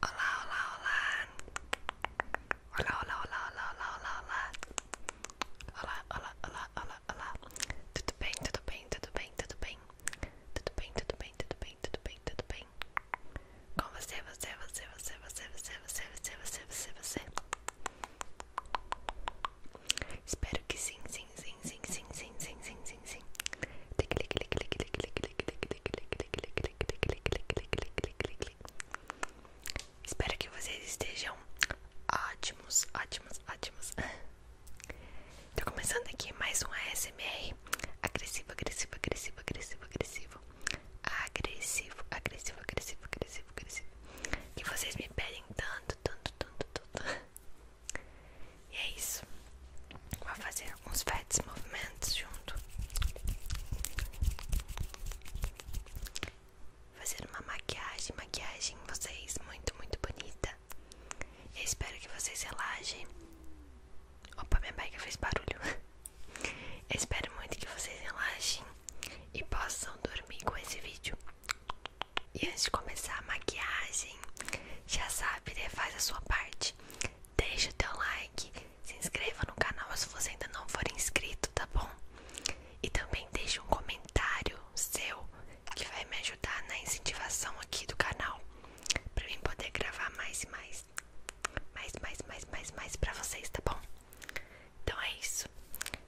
Olá, olá, olá. Olá, olá, olá, olá, olá, olá, olá. Olá, olá, olá, olá, Tudo bem, tudo bem, tudo bem, tudo bem. Tudo bem, tudo bem, tudo bem, tudo bem, tudo bem. Com você, você, você, você, você, você, você, você, você, você, Espero que sim, sim, sim, sim, sim, sim, sim, sim, sim, sim. Clique, clique, clique, clique, clique, clique, clique, clique, clique, clique, clique, clique, Espero que vocês estejam ótimos, ótimos, ótimos. Tô começando aqui mais um ASMR agressivo, agressivo, agressivo, agressivo, agressivo, agressivo, agressivo, agressivo, agressivo, agressivo. Que vocês me pedem tanto, tanto, tanto, tanto. E é isso. Vou fazer alguns pets movimentos junto. Fazer uma maquiagem, maquiagem vocês muito, muito bonita. Eu espero que vocês relaxem. Opa, minha bike fez barulho. Eu espero muito que vocês relaxem e possam dormir com esse vídeo. E antes de começar a maquiagem, já sabe, né? faz a sua parte deixe o teu like, se inscreva no canal se você ainda não for inscrito, tá bom? E também deixe um comentário seu que vai me ajudar na incentivação aqui do canal para mim poder gravar mais e mais, mais, mais, mais, mais, mais para vocês, tá bom? Então é isso.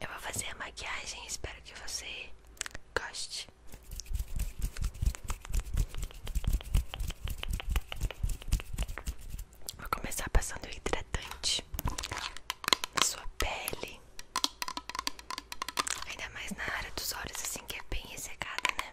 Eu vou fazer a maquiagem, espero que você goste. Vou começar passando hidratante na sua pele, ainda mais na área dos olhos, assim que é bem ressecada, né?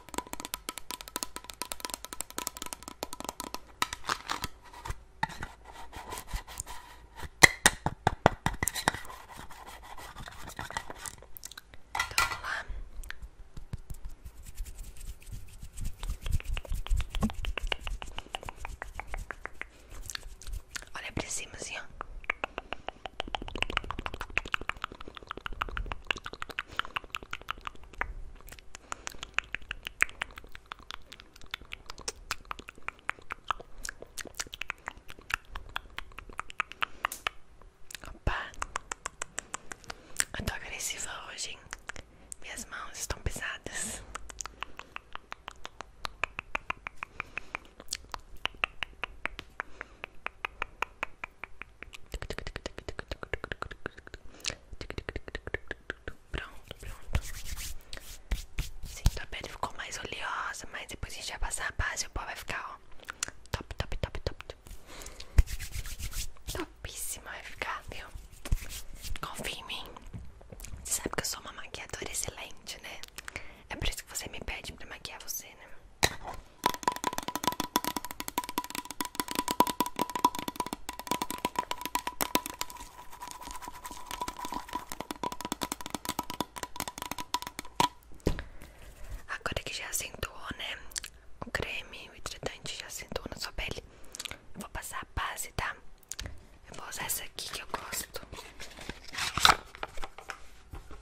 Então vamos Olha pra cima assim, Opa, eu tô agressiva hoje, Minhas mãos estão pesadas. Pronto, pronto. Sim, tua pele ficou mais oleosa, mas depois a gente vai passar a base e o pó vai ficar, ó. Top, top, top, top, top. Topíssima vai ficar, viu? Confia em mim. Você sabe que eu sou uma maquiadora excelente, né? É por isso que você me pede pra maquiar você, né? Agora que já assentou, né? O creme, o hidratante já assentou na sua pele. vou passar a base, tá? Eu vou usar essa aqui que eu gosto.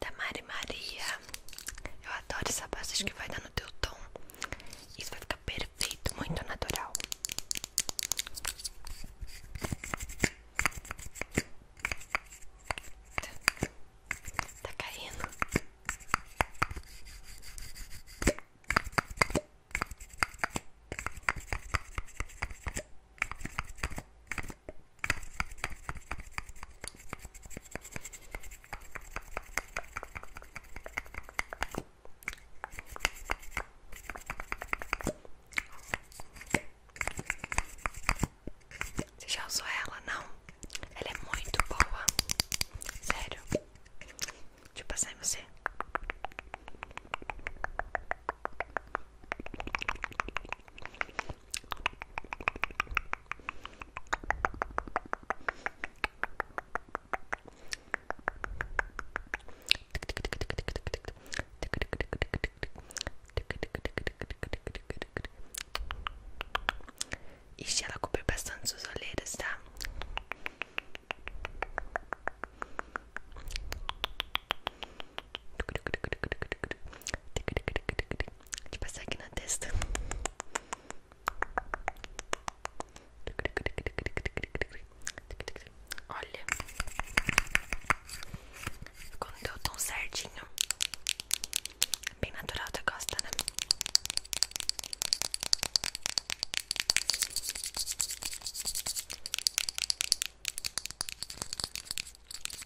da Mari Maria. Eu adoro essa base, acho que vai dar no teu tom. Isso vai ficar perfeito, muito natural. Tá caindo. Você já usou ela? Não? Ela é muito boa. Sério. Deixa eu passar em você. Ixi, ela cobriu bastante suas olheiras, tá? de passar aqui na testa. Olha, ficou deu tão tom certinho. É bem natural, tu gosta, né?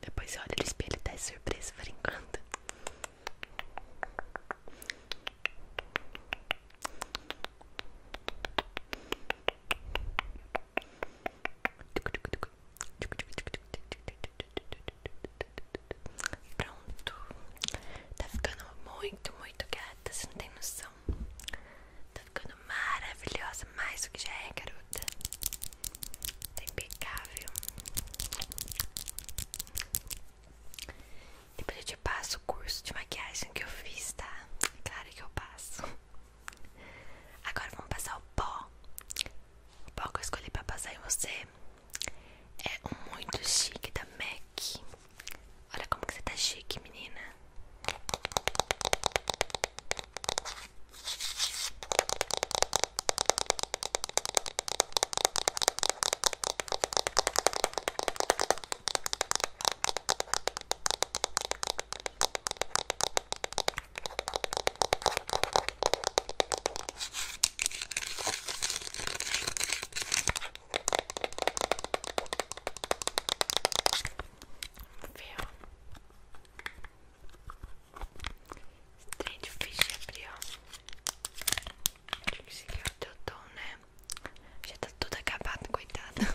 Depois olha no espelho e tá surpresa por enquanto. Pronto. Tá ficando muito, muito gata. Você não tem noção. Tá ficando maravilhosa. Mais do que já é, garota. Tá impecável. Depois eu te passo o curso de maquiagem que eu fiz, tá? É claro que eu passo. Agora vamos passar o pó. O pó que eu escolhi para passar em você é muito chique da MAC. Olha como que você está chique, menina. Viu? Trem é difícil de abrir, ó. Acho que esse aqui é o teu tom, né? Já tá tudo acabado, coitado.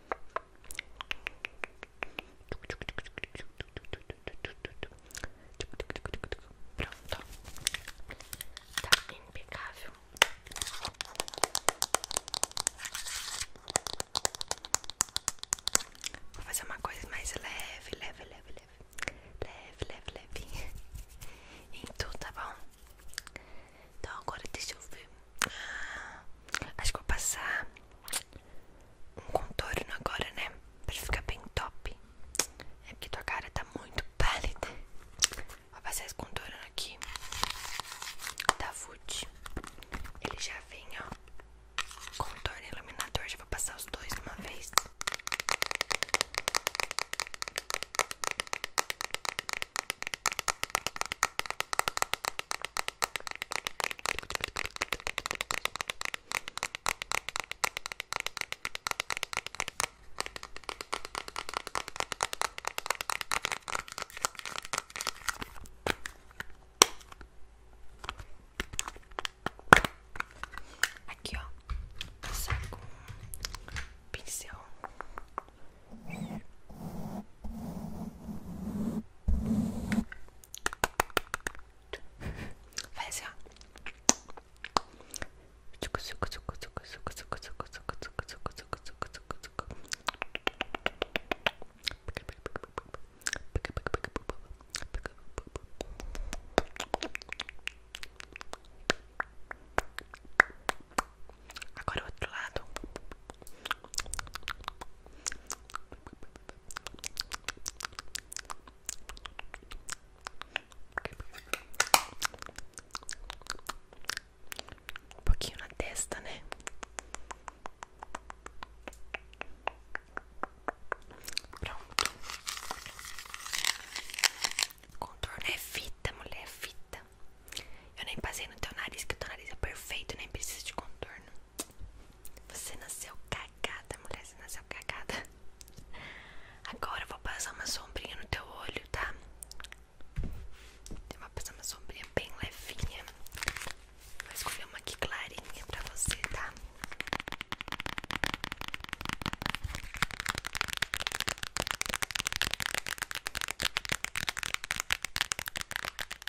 Pronto, tá impecável. Vou fazer uma coisa mais leve, leve, leve, leve, leve, leve, leve. Em tudo, tá bom? Então agora deixa eu ver. Ah, acho que vou passar um contorno agora, né? Pra ficar bem top. É porque tua cara tá muito pálida. Vou passar esse contorno aqui da tá Food. Ele já vem, ó. Contorno e iluminador. Já vou passar os dois de uma vez. Aqui, ó, passar com um pincel. Faz assim, ó. Agora o outro lado. Um pouquinho na testa, né? Pronto. Contorno é fita, mulher, é fita. Eu nem passei no teu nariz, que o teu nariz é perfeito, nem precisa de contorno. Você nasceu cagada, mulher, você nasceu cagada. Agora eu vou passar uma sombrinha no teu olho, tá? Eu vou passar uma sombrinha bem levinha. Vou escolher uma aqui clarinha pra você, tá?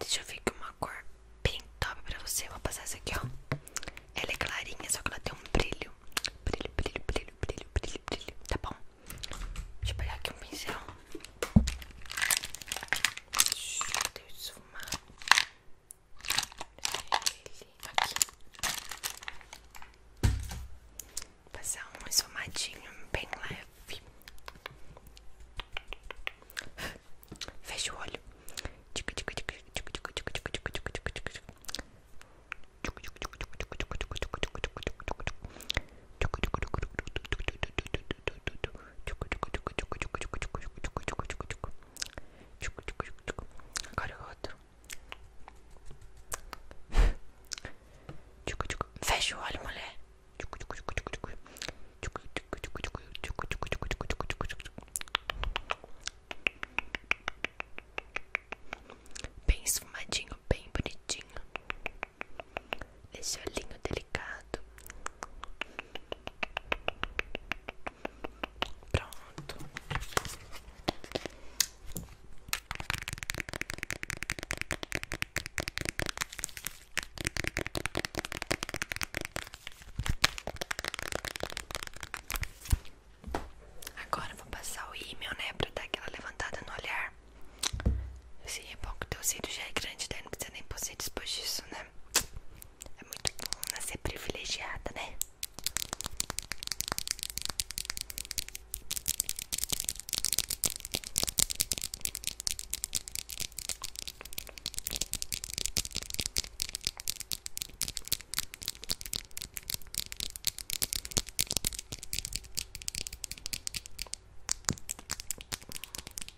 Deixa eu ver com uma cor bem top pra você. Eu vou passar essa aqui, ó. Ela é clarinha, só que ela tem um brilho. Brilho, brilho, brilho, brilho, brilho, brilho. Tá bom? Deixa eu pegar aqui um pincel. Deixa eu esfumar. Passar um somadinho bem leve. Fecha o olho. Fecha o olho. Agora o é outro. Fecha o olho, mulher. Bem esfumadinho, bem bonitinho. Esse olhinho delicado. Pronto. Agora eu vou passar o email né, pra dar aquela levantada no olhar. Esse é bom que o teu cílio já é grande, daí não precisa nem pôr depois disso, né? É muito bom nascer privilegiada, né?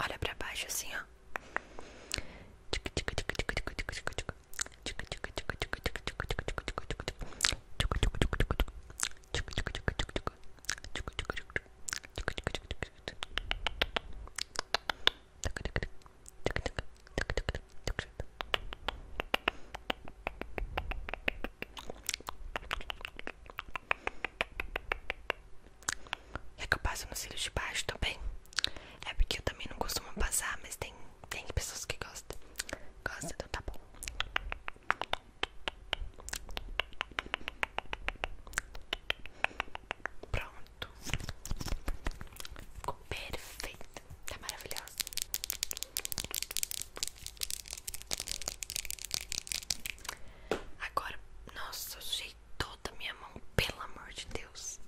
Olha pra baixo assim, ó. É que eu passo nos cílios de baixo também. É porque eu também não costumo passar, mas tem, tem pessoas que gostam. Gosta, então tá bom. Pronto. Ficou perfeito linda, tá, tá maravilhosa. Agora, nossa, eu sujei toda a minha mão, pelo amor de Deus.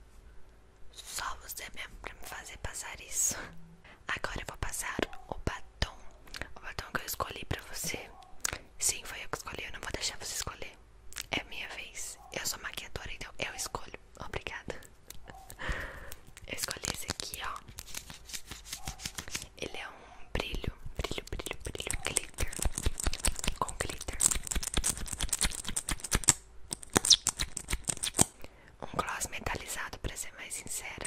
Só você mesmo pra me fazer passar isso. Agora eu vou passar o batom. O batom que eu escolhi pra você. Sim, foi eu que escolhi, eu não vou deixar você escolher. É minha vez. Eu sou maquiadora, então eu escolho. Obrigada. Eu escolhi esse aqui, ó. Ele é um brilho, brilho, brilho, brilho, glitter. Com glitter. Um gloss metalizado, pra ser mais sincera.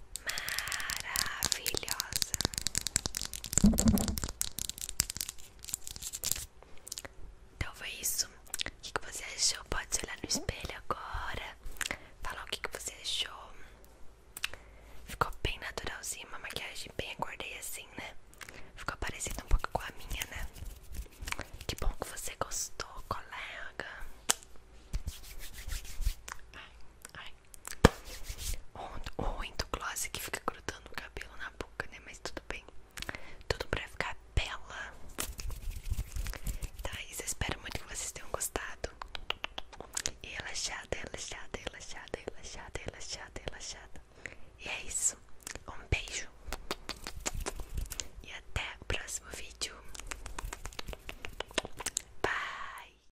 maravilhosa. Então foi isso. O que, você achou? Pode se olhar no espelho agora. Falar o que, você achou. Ficou bem naturalzinho, uma maquiagem bem acordei assim, né? Ficou parecida um pouco com a minha, né? Que bom que você gostou, colega. Ai, ai, ou, ou então gloss que fica grudando o cabelo na boca, né? Mas tudo bem. Tudo pra ficar bela. Tá, isso eu espero muito que vocês tenham gostado. E relaxada, relaxada, relaxada, relaxada, relaxada, relaxada. E é isso. Um beijo. E até o próximo vídeo. Bye.